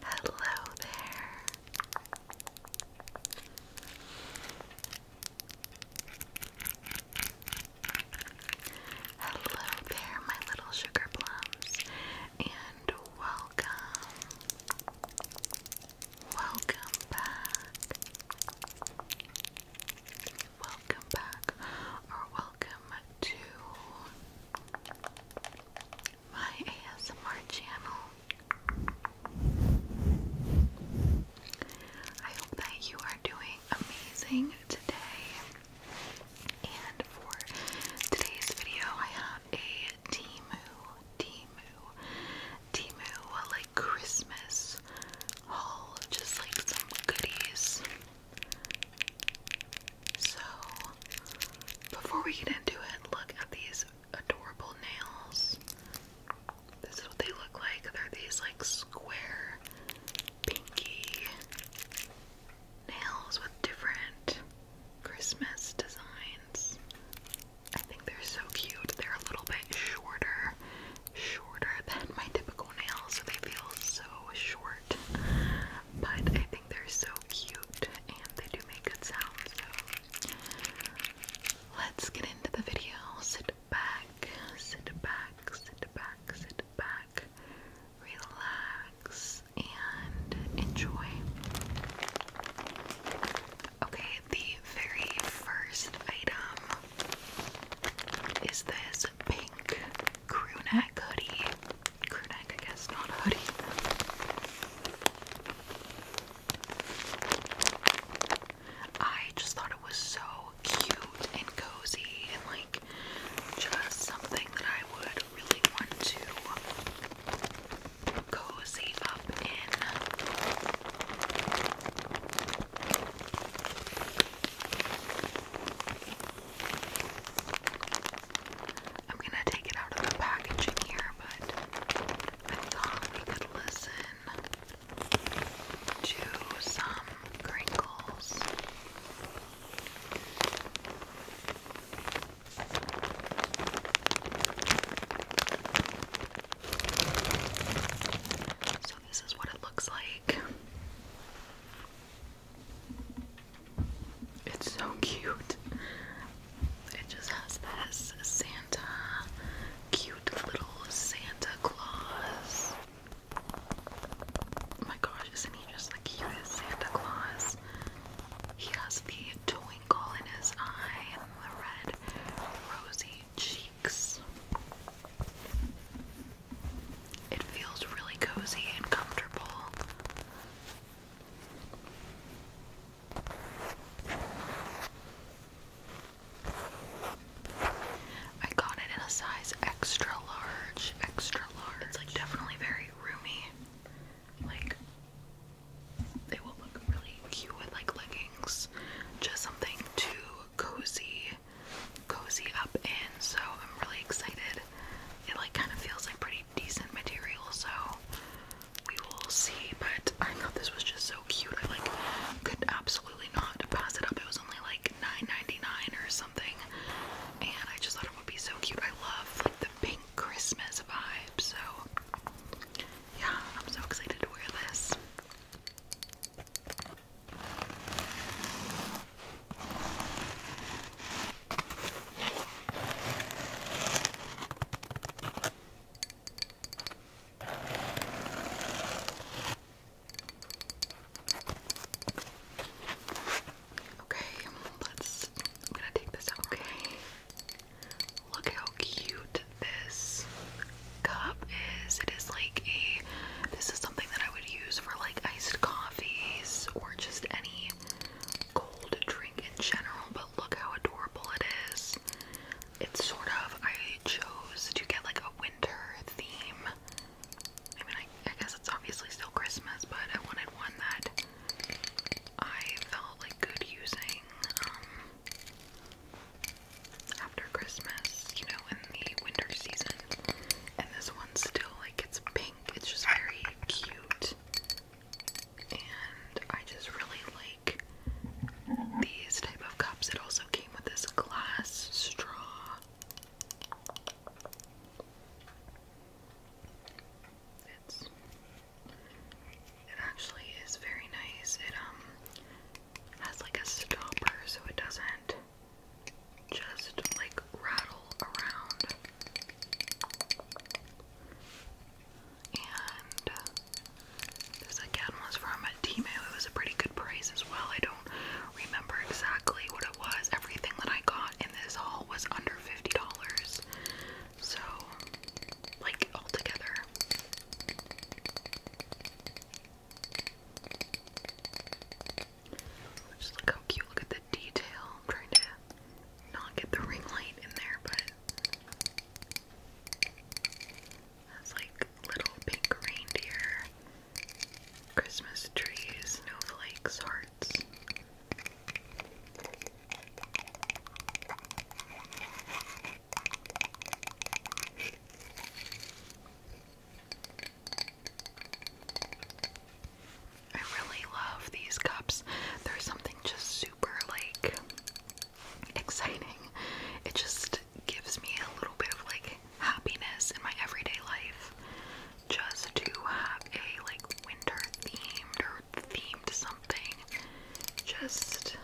Hello there. Hello there, my little sugar plums, and welcome. Welcome back welcome back or welcome to my ASMR channel. I hope that you are doing amazing today. And for today's video, I have a Timu, Timu, Timu, like Christmas haul, just like some goodies so, before we get into it, look at these adorable nails. This is what they look like. They're these like square, pinky nails with different Christmas designs. I think they're so cute. They're a little bit shorter, shorter than my typical toenails, so they feel so short. But I think they're so cute and they do make good sounds. let's get into the video. Sit back, sit back, sit back, sit back, relax, and enjoy. Okay, the very first item is this pink crew hoodie. Crew I guess, not hoodie. I just thought it was so cute and cozy and like just something that I would really want to cozy up in. I'm gonna take it out of the packaging here, but I thought we could listen to some crinkles. So, this is what it looks like. It's so cute. It just has this Santa, cute little Santa Claus. Oh my gosh, isn't he just the cutest Santa Claus? He has the twinkle in his eye and the red, rosy cheeks. It feels really cozy and comfortable. I got it in a size extra large, extra large. It's like definitely very roomy. Like they will look really cute with like leggings. Just something too cozy cozy up in, so I'm really excited. It like kind of feels like pretty decent material, so we will see. But I thought this was just so cute. I like could absolutely not pass it up. It was only like 9.99 dollars or something, and I just thought it would be so cute. I love like the pink Christmas vibe, so yeah, I'm so excited to wear this. Okay, let's. I'm gonna take this out. Okay. Look how cute this cup is. It is like a this is something that I would use for like iced coffees or just any cold drink in general, but look how adorable it is. It's sort of, I chose to get like a winter theme. I mean, I, guess it's obviously still Christmas, but I wanted one that I felt like good using um, after Christmas, you know, in the winter season. And this one's still like it's pink. It's just very cute. And I just really like these type of cups. It also came with this glass straw. It's it actually is very nice. It um has like a stopper so it doesn't just like rattle around. And this again was from a Timo. It was a pretty good price as well. I don't remember exactly what it was. Everything that I got in this haul was under $50. So, like, all together. Just look how cute. Look at the detail. trying to not get the ring light in there, but that's like little pink reindeer, Christmas trees, snowflakes, hearts. I really love these cups. There's something just super like exciting. It just gives me a little bit of like happiness in my everyday life. Just to have a like winter themed or themed something just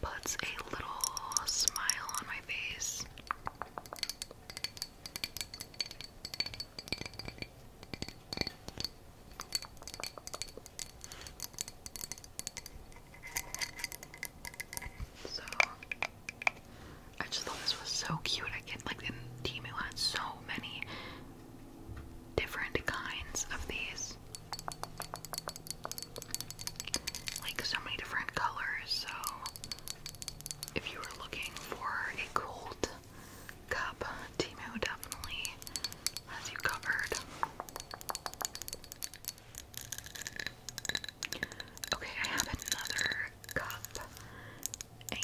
puts a little smile on my face. So I just thought this was so cute. I get like in Timu had so many different kinds of these. Like so many different colors, so if you were looking for a cold cup, Timo definitely has you covered. Okay, I have another cup, and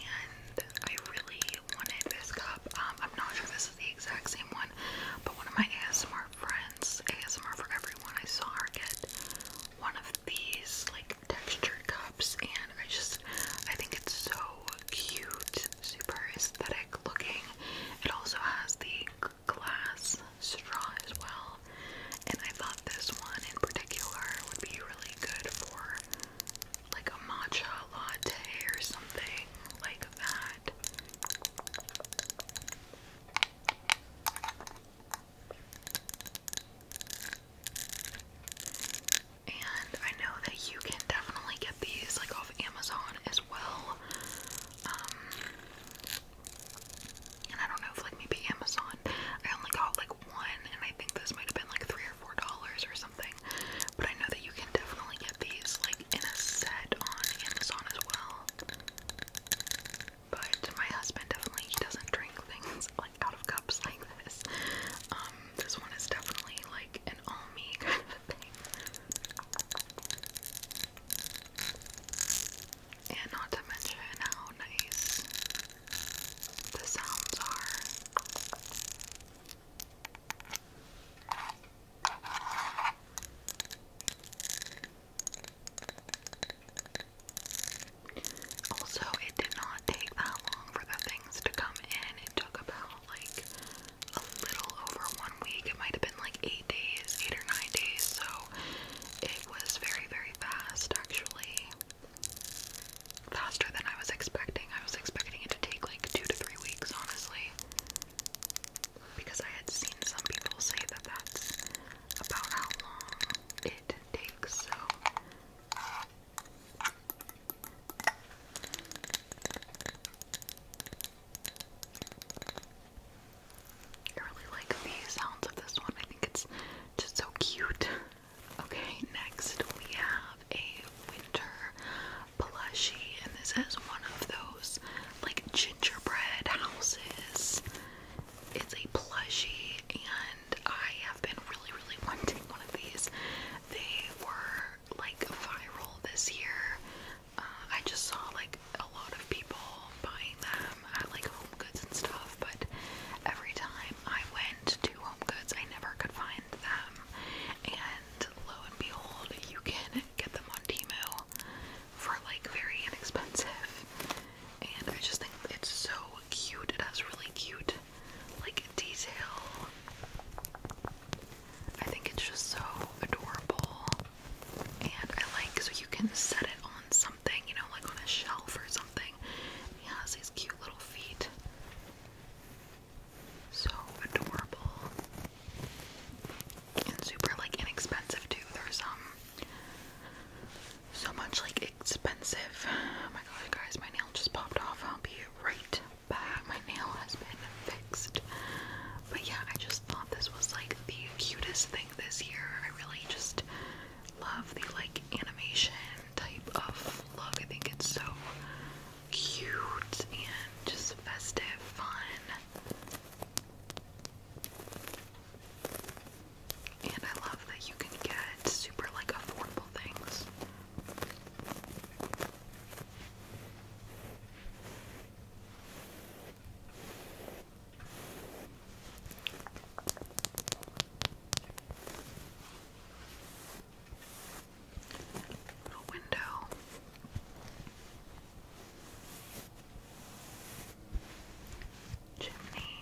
I really wanted this cup. Um, I'm not sure this is the exact same one, but one of my ASMR friends, ASMR for everyone, I saw her get one of these like like textured cups and I just I think it's so cute, super aesthetic looking. It also has the glass straw as well. And I thought this one in particular would be really good for like a matcha latte or something like that. And I know that you can definitely get these like off Amazon as well. Um, and I don't know if like maybe Amazon. I only got like one, and I think this might have been like three or four dollars or something. But I know that you can definitely get these like in a set on Amazon as well. But my husband definitely he doesn't drink things like out of cups like this. Um, this one is definitely like an all me kind of a thing. And not to mention how nice the sounds are. Also, it did not take that long for the things to come in. It took about like a little over one week. It might have been like eight days, eight or nine days. So it was very, very fast actually. Faster than I was expecting. I was expecting it to take like two to three weeks, honestly. Because I had seen some people say that that's about how long it takes. So I really like the sounds of this one. I think it's just so cute. Okay, next we have a winter plushie, and this has one of those like gingerbread houses. It's a plushie, and I have been really, really wanting one of these. They were like viral this year. Uh, I just saw like a lot of people buying them at like Home Goods and stuff, but every time I went to Home Goods, I never could find them. And lo and behold, you can get them on Temu for like very inexpensive. And I just think it's so cute. It has really cute like detail. I think it's just so adorable. And I like so you can set it on something, you know, like on a shelf or something. He has these cute little feet. So adorable. And super like inexpensive too. There's um so much like expensive. Oh my gosh, guys, my nail just popped off. I'll be right back. My nail has been fixed. But yeah, I just thought this was like the cutest thing this year. I really just love the like animation type of look. I think it's so cute and just festive, fun. And I love that you can get super like affordable things. Little window. Chimney.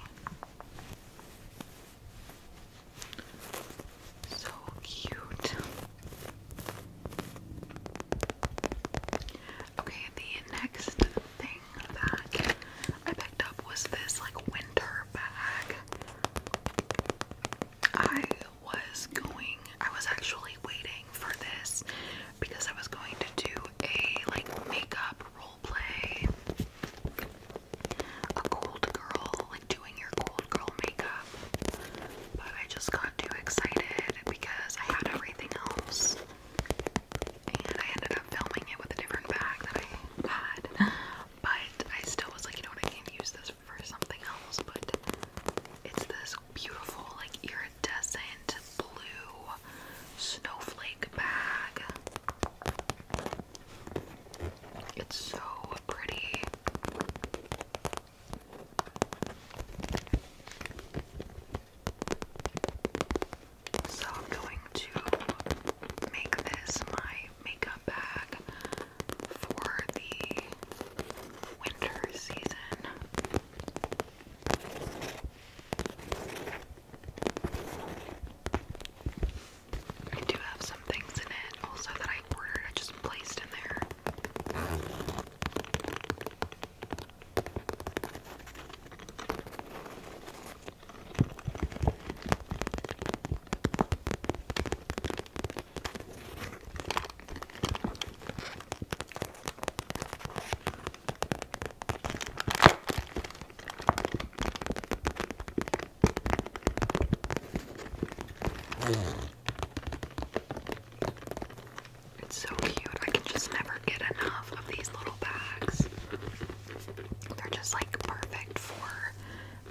So cute. Okay, the next thing that I picked up was this like winter bag. I was going, I was actually waiting for this because I was going to do a like makeup role play a cold girl, like doing your cold girl makeup, but I just got too excited because I had everything else, and I ended up filming it with a different bag that I had. But I still was like, you know what, I can use this for something else. But it's this beautiful, like iridescent blue snowflake bag. It's so pretty. So I'm going to make this my makeup bag for the winter season. I do have some things in it also that I ordered, I just placed in there. It's so cute. I can just never get enough of these little bags. They're just like perfect for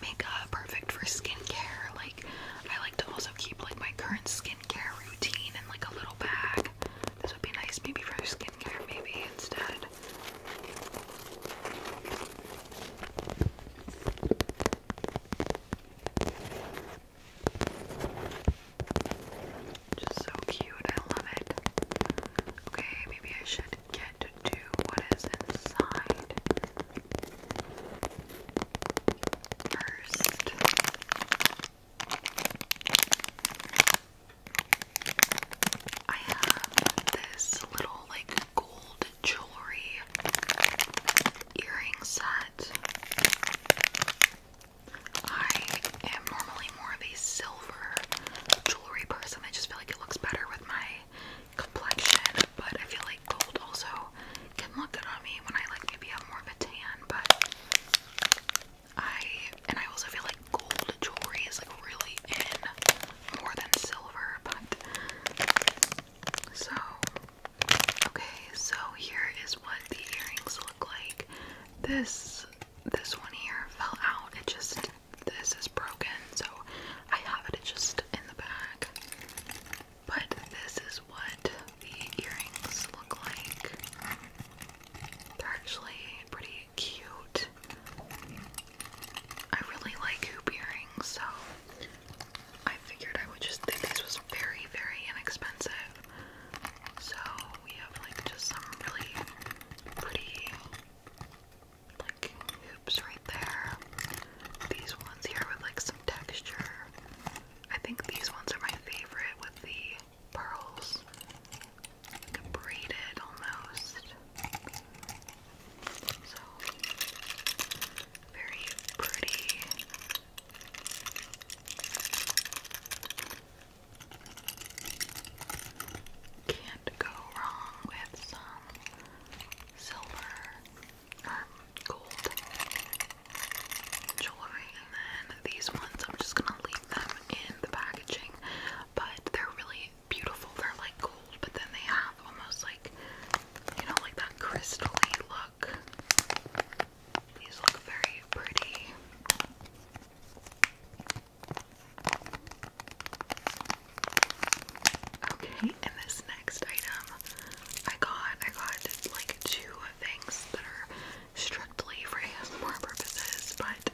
makeup, perfect for skincare. Like, I like to also keep like my current skincare routine in like a little bag. This would be nice maybe for skincare, maybe instead. Just so cute, I love it. Okay, maybe I should get to what is inside first. I have this little like gold jewelry earring set. I am normally more of a silver jewelry person. I just feel like it looks better with my complexion, but I feel like gold also can look good on me when I like maybe have more of a tan, but I and I also feel like gold jewelry is like really in more than silver, but so okay, so here is what the earrings look like. This this one here fell out. It just this is broken, so I have it just in the bag. But this is what the earrings look like. They're actually pretty cute. I really like hoop earrings, so I figured I would just think this was very, very inexpensive. So we have like just some really pretty like hoops right there. These ones here with like some texture. I think these ones are my favorite with the pearls braided almost. So very pretty. Can't go wrong with some silver or um, gold jewelry. And then these ones, I'm just gonna leave them in the packaging, but they're really beautiful. They're like gold, but then they have almost like, you know, like that crystally look. These look very pretty. Okay, and this next item I got, I got like two things that are strictly for more purposes, but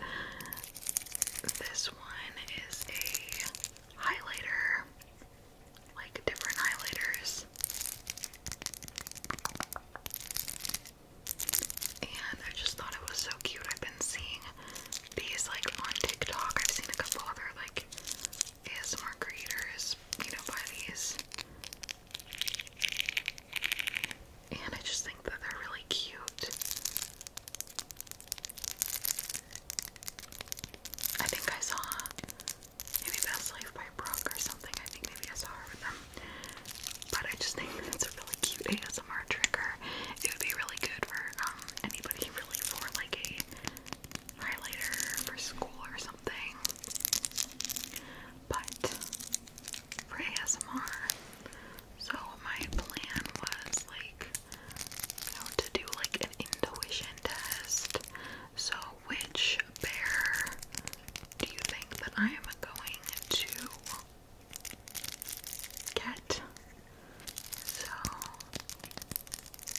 this one is a highlighter, like different highlighters. And I just thought it was so cute. I've been seeing these like on TikTok. I've seen a couple other like ASMR creators, you know, buy these. And I just think that they're really cute. I think I saw maybe Best Life by Brooke or something. I think maybe I saw her with them. But I just think that it's a really cute ASMR trigger. It would be really good for um, anybody really for like a highlighter for school or something. But for ASMR, so my plan was like you know, to do like an intuition test. So which bear do you think that I am going to get? So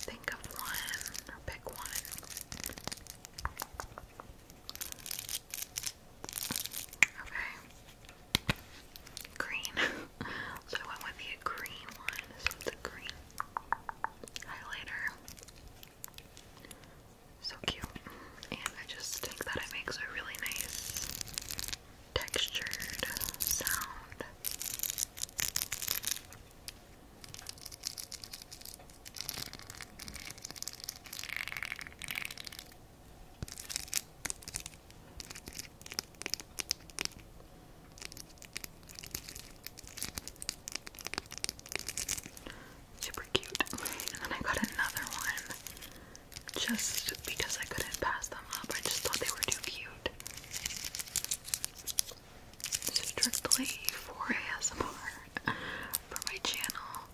think of one or pick one. Okay green. so I went with the green one. So green highlighter. So cute. And I just think that it makes a really nice textured sound. Super cute. And then I got another one just because I couldn't pass them up. I just thought they were too cute. Strictly for ASMR for my channel.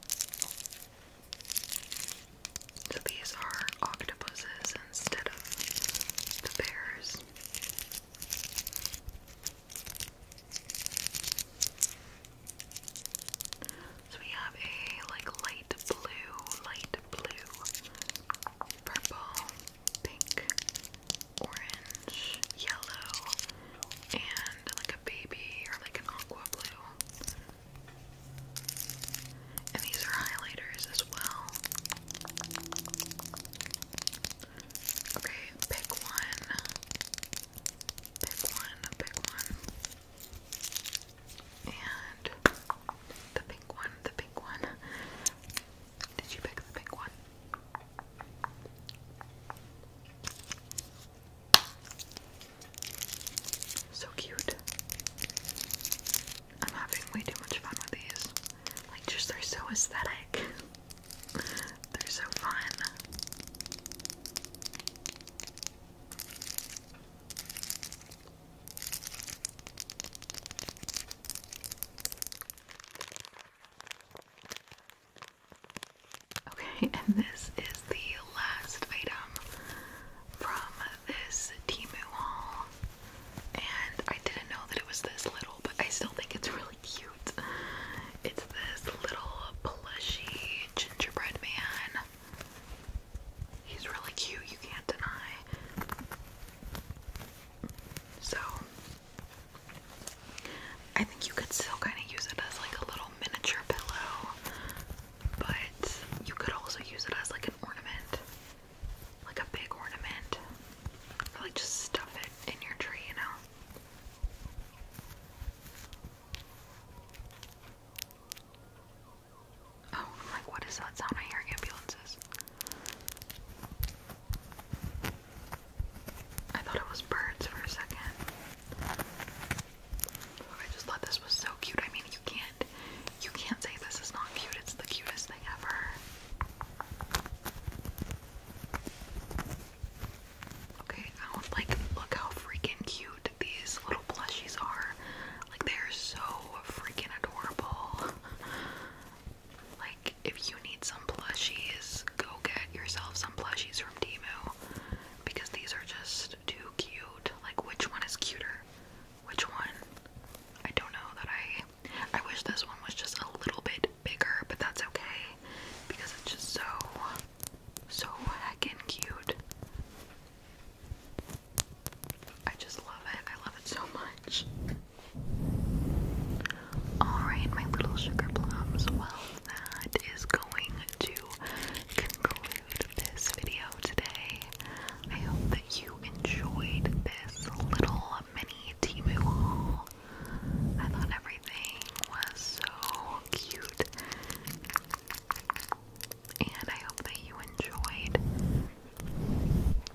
So these are octopuses instead of the bears. So we have a like light blue, light blue, purple, pink, orange, yellow, and like a baby or like an aqua blue. And these are highlighters as well. Okay, pick one. Pick one, pick one. And the pink one, the pink one. Did you pick the pink one? So cute. I'm having way too much fun with these. Like, just they're so aesthetic. they're so fun. Okay, and this is the last item from this Timu haul, and I didn't know that it was this little, but I still think it's really cute. It's this little plushy gingerbread man. He's really cute, you can't deny. So, I think you could still kind of use it as like a little miniature pillow, but you could also use it as like an ornament like a big ornament. like just stuff it in your tree, you know. Oh, like what is that sound? I hear ambulances. I thought it was birds for a second. Oh, I just thought this was so cute. I mean, you can't you can't say this is not cute. It's the cutest thing ever. Okay, I do like look how freaking cute these little plushies are. Like they're so freaking adorable. like if you need some plushies, go get yourself some plushies from Temu because these are just too cute. Like which one is cuter? which one. I don't know that I I wish this one was just a little bit bigger, but that's okay because it's just so so heckin' cute. I just love it. I love it so much. Alright, my little sugar plums. Well, that is going to conclude this video today. I hope that you enjoyed this little mini Timu haul. I thought everything was so cute. And I hope that you enjoyed.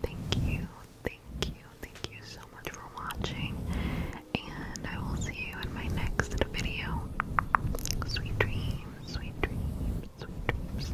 Thank you, thank you, thank you so much for watching. And I will see you in my next video. Sweet dreams, sweet dreams, sweet dreams.